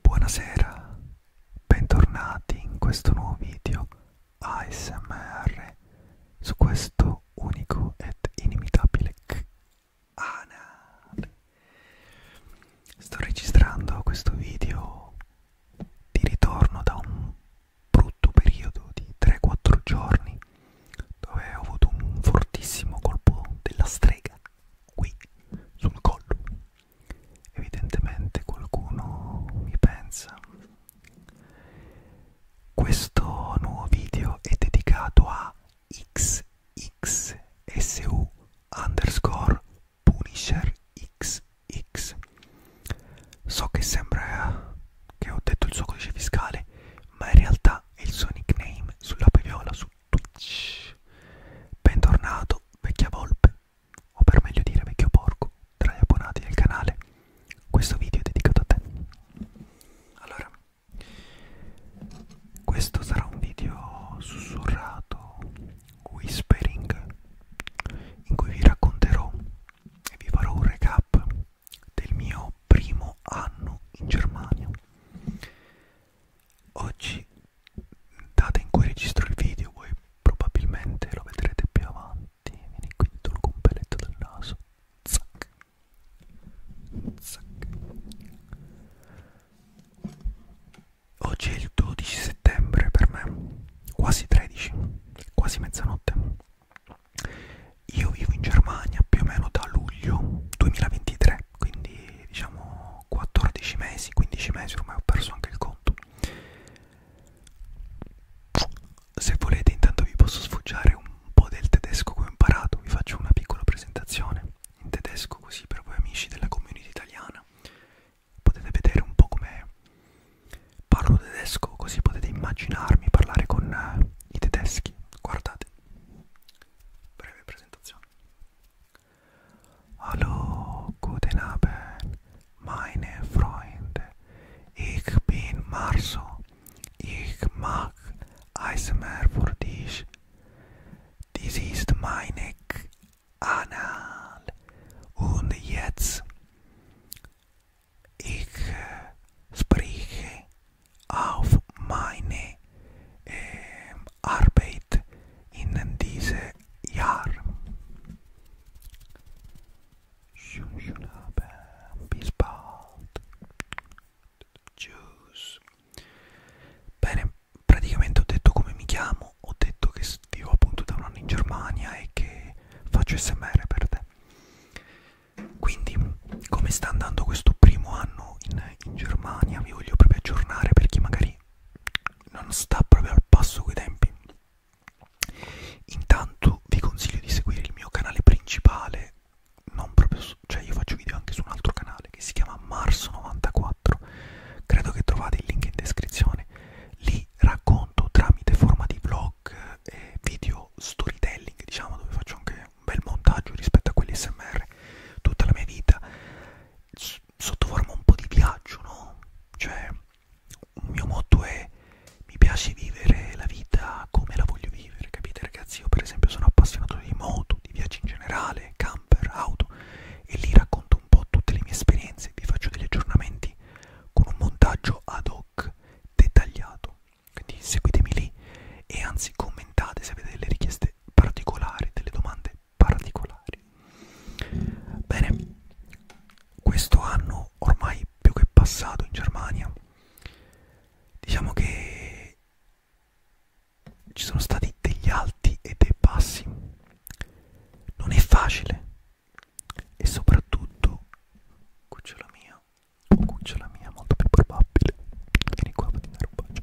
Buonasera, bentornati in questo nuovo video ASMR su questo unico ed inimitabile canale. Sto registrando questo video di ritorno da un brutto periodo di 3-4 giorni dove ho avuto un fortissimo colpo della strega qui sul collo Evidentemente qualcuno mi pensa. Questo nuovo video è dedicato a xxsu underscore punisher xx. So che sembra che ho detto il suo codice fiscale, ma in realtà è il suo nickname sulla peviola su su Twitch. Bentornato, vecchia volpe, o per meglio dire vecchio porco, tra gli abbonati del canale. Questo video è dedicato a te. Allora, questo sarà un video sussurrato, whispering, in cui vi racconterò e vi farò un recap del mio primo anno in Germania oggi data in cui registro il video voi probabilmente lo vedrete più avanti vieni qui dentro il compelletto del naso zac zac oggi è il 12 settembre per me quasi 13 quasi mezzanotte io vivo in Germania più o meno da luglio 2023 quindi diciamo sono 14 mesi 15 mesi ormai ho perso anche il conto se volete intanto vi posso sfoggiare un po' del tedesco che ho imparato vi faccio una piccola presentazione in tedesco così per voi amici della community italiana potete vedere un po' come parlo tedesco così potete immaginarmi parlare con uh, i tedeschi guardate breve presentazione Hallo, guten Abend, meine Freunde. Ich bin Marso. Ich mag Eismeer für dich. Dies ist meine Kanal. Und jetzt ich äh, spreche auf meine eh, Arbeit in diese Jahr. Schon, schon haben. Bis bald. Tschüss. Bene, praticamente ho detto come mi chiamo, ho detto che vivo appunto da un anno in Germania e che faccio SMR per te. Quindi, come sta andando questo primo anno in in, in Germania vi voglio proprio aggiornare per chi magari non sta proprio al passo coi tempi intanto vi consiglio di seguire il mio canale principale non proprio su, cioè io faccio video anche su un altro canale che si chiama marzo 94 credo che trovate il link in descrizione lì racconto tramite forma di vlog e video storytelling diciamo dove faccio anche un bel montaggio rispetto a quelli smr tutta la mia vita sotto forma un po' di viaggio, no? Cioè, il mio motto è mi piace vivere la vita come la voglio vivere, capite ragazzi? Io per esempio sono appassionato di moto, di viaggi in generale, camper, auto e lì racconto un po' tutte le mie esperienze, vi faccio degli aggiornamenti con un montaggio ad hoc dettagliato. Quindi seguitemi lì e anzi commentate se avete delle richieste domande particolari, delle domande particolari. Bene, questo anno ormai più che passato in Germania, diciamo che ci sono stati degli alti e dei bassi. Non è facile e soprattutto cucciola mia, cucciola mia molto più probabile. Vieni qua, patina rubaccia.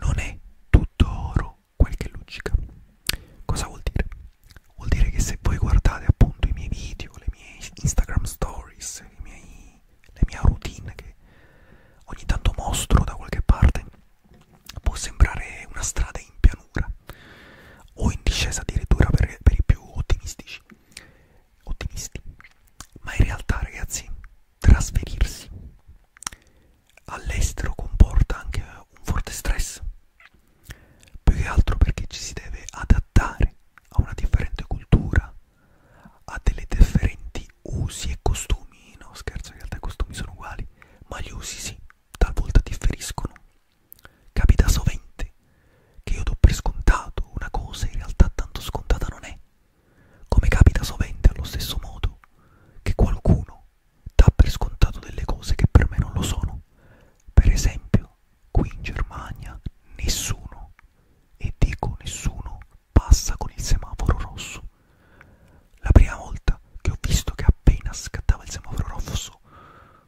Non è tutto oro quel che luccica. Cosa vuol dire? Vuol dire che se voi guardate appunto i miei video, le mie Instagram stories, i miei, le mie routine che ogni tanto mostro da qualche parte, può sembrare una strada in pianura o in discesa addirittura per, per i più ottimistici ottimisti ma in realtà ragazzi trasferirsi all'estero comporta anche un forte stress, più che altro perché ci si deve adattare a una differente cultura, a delle differenti usi e costumi, no scherzo, in realtà i costumi sono uguali, ma gli usi sì, talvolta differiscono. Capita sovente che io do per scontato una cosa, in realtà tanto scontata non è, come capita sovente allo stesso modo che qualcuno dà per scontato delle cose che per me non lo sono. Per esempio, qui in Germania nessuno, e dico nessuno, passa con il semaforo rosso. La prima volta che ho visto che appena scattava il semaforo rosso,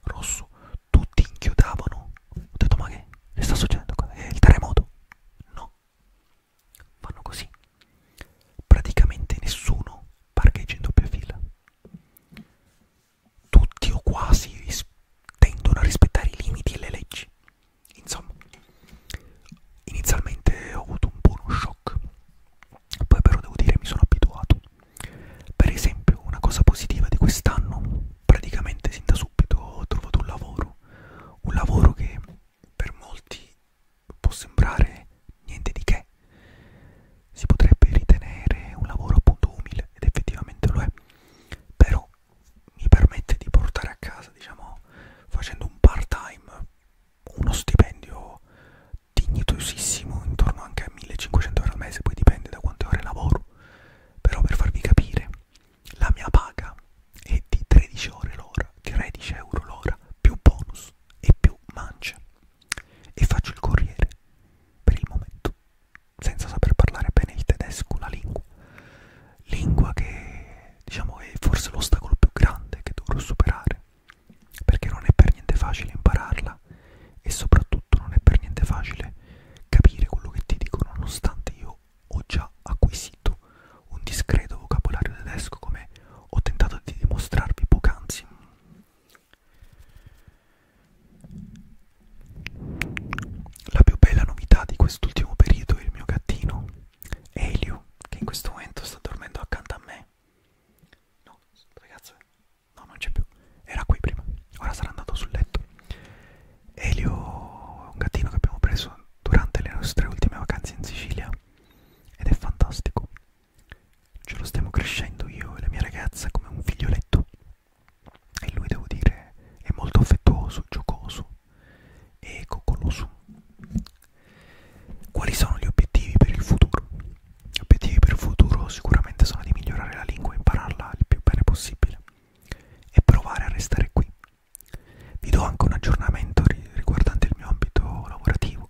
rosso tutti inchiodavano. Ho detto ma che? Che sta succedendo qua? È il terremoto? No, Fanno così. Praticamente nessuno parcheggia in doppia fila. Tutti o quasi tendono a rispettare i limiti e le leggi. Insomma, inizialmente ho avuto un buono shock. Poi però devo dire mi sono abituato. Per esempio, una cosa positiva di quest'anno praticamente sin da subito ho trovato un lavoro, un lavoro che per molti può sembrare niente di che, si potrebbe ritenere un lavoro appunto umile ed effettivamente lo è, però mi permette di portare a casa, diciamo, facendo un part-time, uno stipendio dignitosissimo intorno anche a 1500 euro al mese, poi dipende da quante ore lavoro, però per farvi capire la mia paga è di 13 ore l'ora, 13 euro l'ora, più bonus e più mancia. E faccio il corriere per il momento, senza saper parlare bene il tedesco, la lingua. Lingua che diciamo è forse l'ostacolo più grande che dovrò superare, perché non è per niente facile impararla e soprattutto non è per niente facile capire quello che ti dicono, nonostante io io ho già acquisito un discreto vocabolario tedesco come ho tentato di dimostrarvi poc'anzi. La più bella novità di quest'ultimo periodo è il mio gattino, Elio, che in questo momento sta dormendo accanto a me. No, ragazzo, no, non c'è più. Era qui prima, ora sarà andato sul letto. Elio è un gattino che abbiamo preso durante le nostre ultime vacanze in Sicilia ed è fantastico. Ce lo stiamo crescendo io e la mia ragazza come un figlioletto e lui devo dire è molto affettuoso, giocoso e coccoloso. Quali sono gli obiettivi per il futuro? Gli obiettivi per il futuro sicuramente sono di migliorare la lingua e impararla il più bene possibile e provare a restare qui vi do anche un aggiornamento riguardante il mio ambito lavorativo.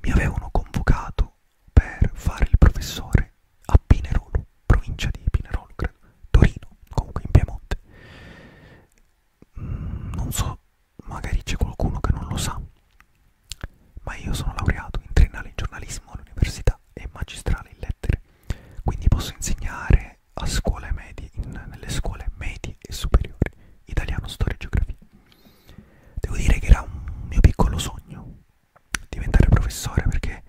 Mi avevano convocato per fare il professore a Pinerolo, provincia di Pinerolo, credo, Torino, comunque in Piemonte. Mm, non so, magari c'è qualcuno che non lo sa, ma io sono laureato in triennale in giornalismo all'università e magistrale in lettere, quindi posso insegnare è a scuole medie, in, nelle scuole medie e superiori, italiano, storia e geografia. Devo dire che era un mio piccolo sogno diventare professore perché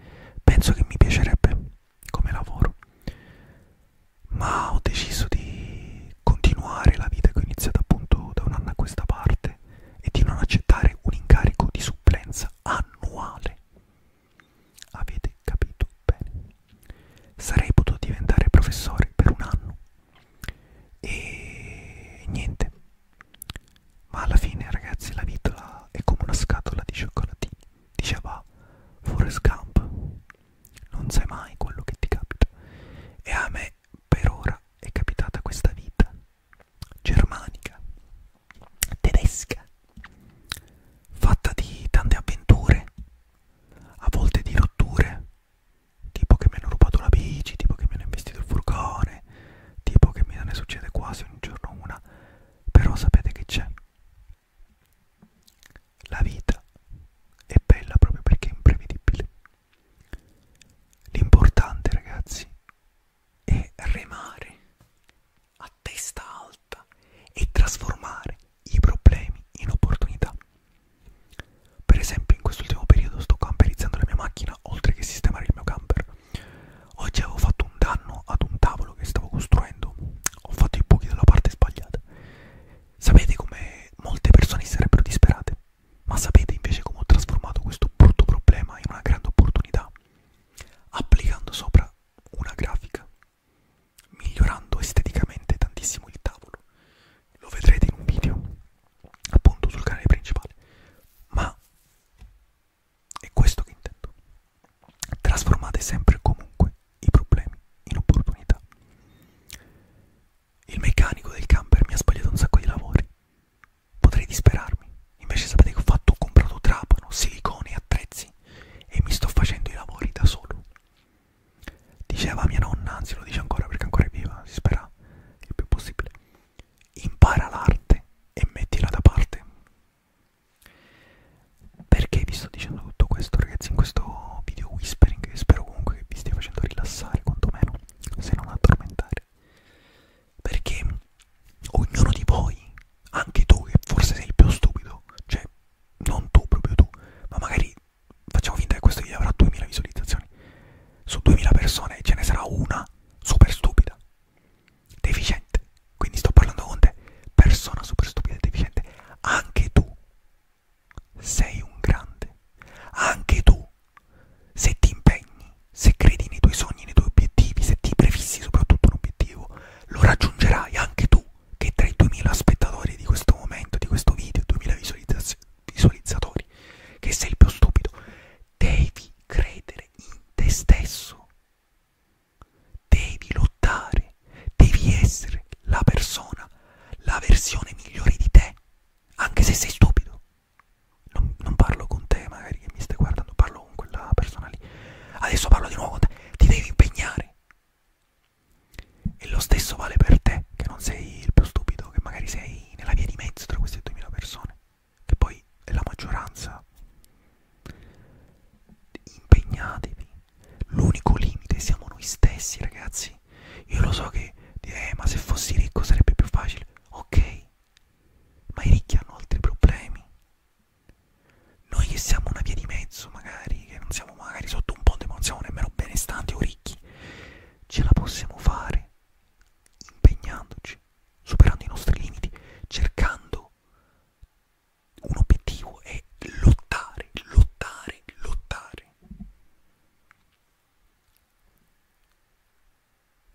penso che mi piacerebbe come lavoro, ma ho deciso di continuare la vita che ho iniziato appunto da un anno a questa parte e di non accettare un incarico di supplenza annuale Avete capito bene. Sarei potuto diventare professore per un anno. E niente. Ma alla fine, ragazzi, la vita è come una scatola di cioccolatini. Diceva Forrest Gump. Non sai mai quello che ti capita. E a me per ora è capitata questa vita germanica tedesca, fatta di tante avventure, a volte di rotture, tipo che mi hanno rubato la bici, tipo che mi hanno investito il furgone, tipo che me ne succede quasi ogni giorno una, però sapete che c'è. La vita è bella proprio perché è imprevedibile. L'importante, ragazzi, è remare a testa alta e trasformare i problemi in opportunità. Per esempio, in quest'ultimo periodo sto camperizzando la mia macchina oltre che sistemare il mio camper. Oggi avevo fatto un danno ad un tavolo che stavo costruendo, ho fatto i buchi dalla parte sbagliata. Sapete come molte persone sarebbero disperate, ma sapete invece come ho trasformato questo brutto problema in una grande opportunità? Applicando sopra una grafica, migliorando esteticamente tantissimo il tavolo. Lo vedrete in un video, appunto sul canale principale. Ma è questo che intendo. Trasformate sempre e comunque i problemi in opportunità. Il meccanico del camper mi ha sbagliato un sacco di lavori. Potrei disperarmi, Invece sapete che ho fatto? Ho comprato trapano, silicone, attrezzi e mi sto facendo i lavori da solo. Diceva mia nonna, anzi lo dice ancora perché ancora è viva, si spera il più possibile. Impara l'arte e mettila da parte. Perché vi sto dicendo tutto questo ragazzi in questo video whispering? Spero comunque che vi stia facendo rilassare quantomeno, se non addormentare. Perché ognuno di voi, anche tu che forse sei il più stupido, cioè non tu, proprio tu, ma magari facciamo finta che questo video avrà 2000 visualizzazioni, su 2000 persone ce ne sarà una super stupida, deficiente, quindi sto parlando con te, persona super stupida e deficiente, anche tu sei un grande, anche tu se ti impegni, se credi nei tuoi sogni, nei tuoi obiettivi, se ti prefissi soprattutto un obiettivo, lo raggiungerai anche tu che tra i 2000 spettatori di questo momento, di questo video, 2000 visualizzaz visualizzatori, che sei il più stupido, devi credere in te stesso, devi lottare, devi essere la persona, la versione migliore di te, anche se sei stupido. Non, non parlo con te, magari che mi stai guardando, parlo parlo con quella persona lì adesso parlo di nuovo con te ti devi impegnare e lo stesso vale per te che non sei il più stupido che magari sei nella via di mezzo tra queste 2000 persone che poi è la maggioranza impegnatevi l'unico limite siamo noi stessi ragazzi io lo so che dire eh, ma se fossi ricco sarebbe più facile ok ma i ricchi hanno altri problemi noi che siamo una via di mezzo, magari, che non siamo magari sotto un ponte, ma non siamo nemmeno benestanti o ricchi, ce la possiamo fare impegnandoci, superando i nostri limiti, cercando un obiettivo e lottare, lottare, lottare.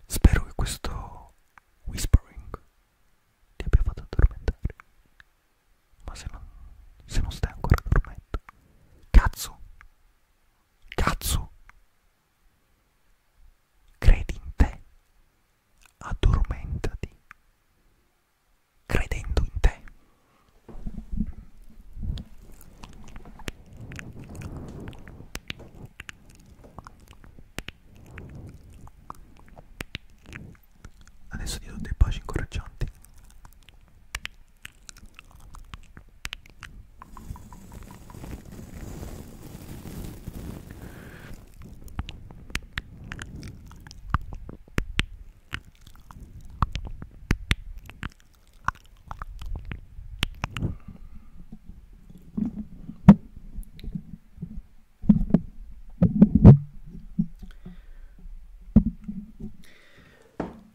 Spero che questo whispering ti abbia fatto addormentare. Ma se non, se non stai ancora dormendo, cazzo, cazzo, credi in te, addormentati, credendo in te. Adesso ti do dei baci incoraggianti.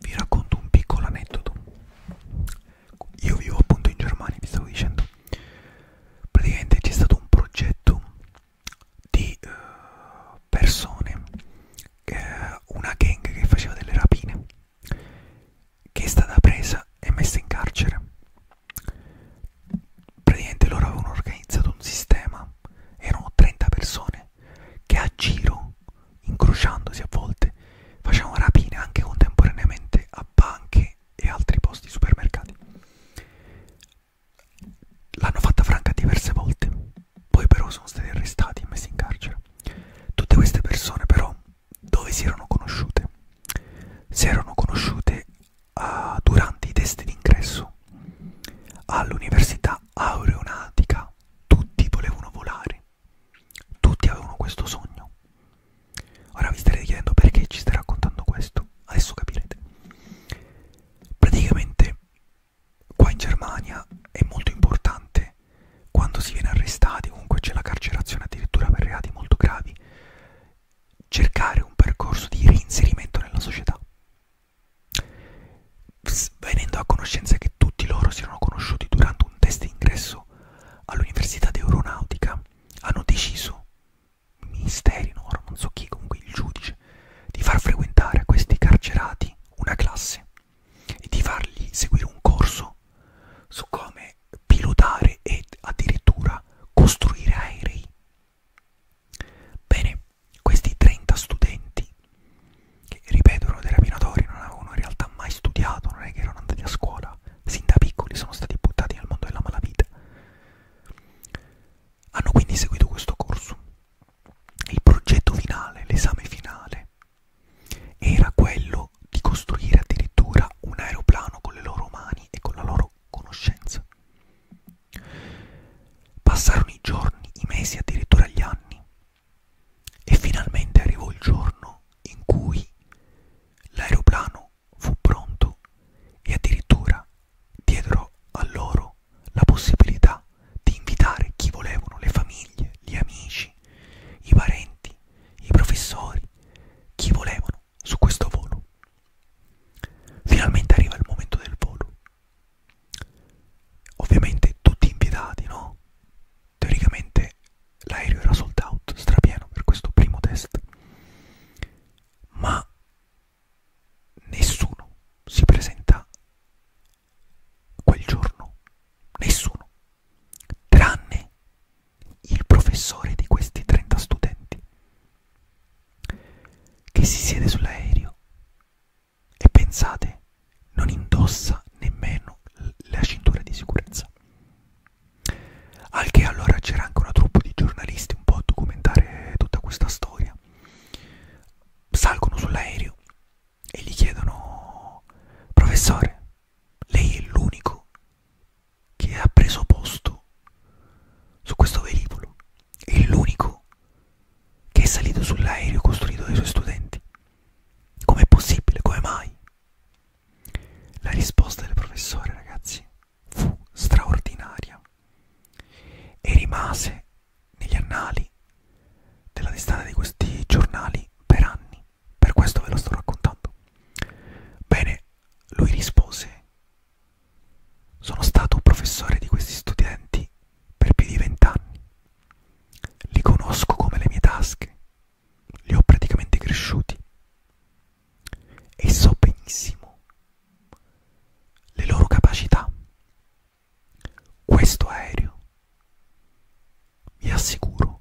Vi racconto un piccolo aneddoto. Io vivo appunto in Germania, vi stavo dicendo. Praticamente c'è stato un progetto di uh, persone, uh, una gang che faceva delle rapine, che è stata presa e messa in carcere praticamente loro avevano organizzato un sistema erano 30 persone che a giro incrociandosi a volte facevano rapine anche contemporaneamente a banche e altri posti supermercati l'hanno fatta franca diverse volte poi però sono stati arrestati e messi in carcere tutte queste persone però dove si erano conosciute si erano conosciute uh, durante i test d'ingresso all'università aeronautica tutti volevano volare, tutti avevano questo sogno. Ora vi starete chiedendo perché ci stai raccontando questo, adesso capirete. Praticamente qua in Germania è molto importante quando si viene arrestati, comunque c'è la carcerazione addirittura per reati molto gravi, cercare un percorso di reinserimento nella società, venendo a conoscenza che tutti loro si erano conosciuti durante un test d'ingresso all'Università d'Aeronautica, hanno deciso, ministeri, no, non so chi, comunque il giudice, di far frequentare a questi carcerati una classe e di fargli seguire un corso su come come pilotare e addirittura costruire aerei. Bene, questi 30 studenti, che ripeto erano dei rapinatori, non avevano in realtà mai studiato, non è che erano andati a scuola, sin da piccoli sono stati buttati nel mondo della malavita, hanno quindi seguito questo corso. Il progetto finale, l'esame finale, era quello di costruire addirittura un aeroplano con le loro mani e con la loro loro conoscenza. Passarono i giorni, i mesi, addirittura gli anni, e finalmente arrivò il giorno in cui l'aeroplano fu pronto e addirittura diedero a loro la possibilità di invitare chi volevano, le famiglie, gli amici, i parenti, i professori, chi volevano sono su questo volo. Finalmente arriva il momento del volo. Ovviamente tutti impietati, no? Teoricamente l'aereo era sold out, strapieno per questo primo test. Ma nessuno si presenta quel giorno. Nessuno. Tranne il professore di questi 30 studenti che si siede sull'aereo e pensate non indossa nemmeno la cintura di sicurezza al che allora c'era anche una troupe di giornalisti un po' a documentare tutta questa storia salgono sull'aereo e gli chiedono professore lei è l'unico che ha preso posto su questo velivolo è l'unico che è salito sull'aereo costruito dai suoi studenti. Com'è possibile? Come mai? La risposta del professore, ragazzi, fu straordinaria e rimase negli annali della testata di questi giornali per anni. Per questo ve lo sto raccontando. Bene, lui rispose, sono stato un professore di questi studenti per più di vent'anni. Li conosco come le mie tasche, li ho praticamente cresciuti e so benissimo le loro capacità. Questo aereo, vi assicuro,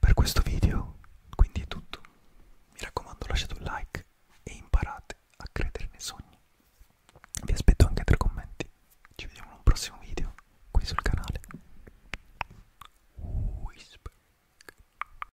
Per questo video quindi è tutto. Mi raccomando lasciate un like e imparate a credere nei sogni. Vi aspetto anche tra i commenti. Ci vediamo in un prossimo video qui sul canale. Whisper.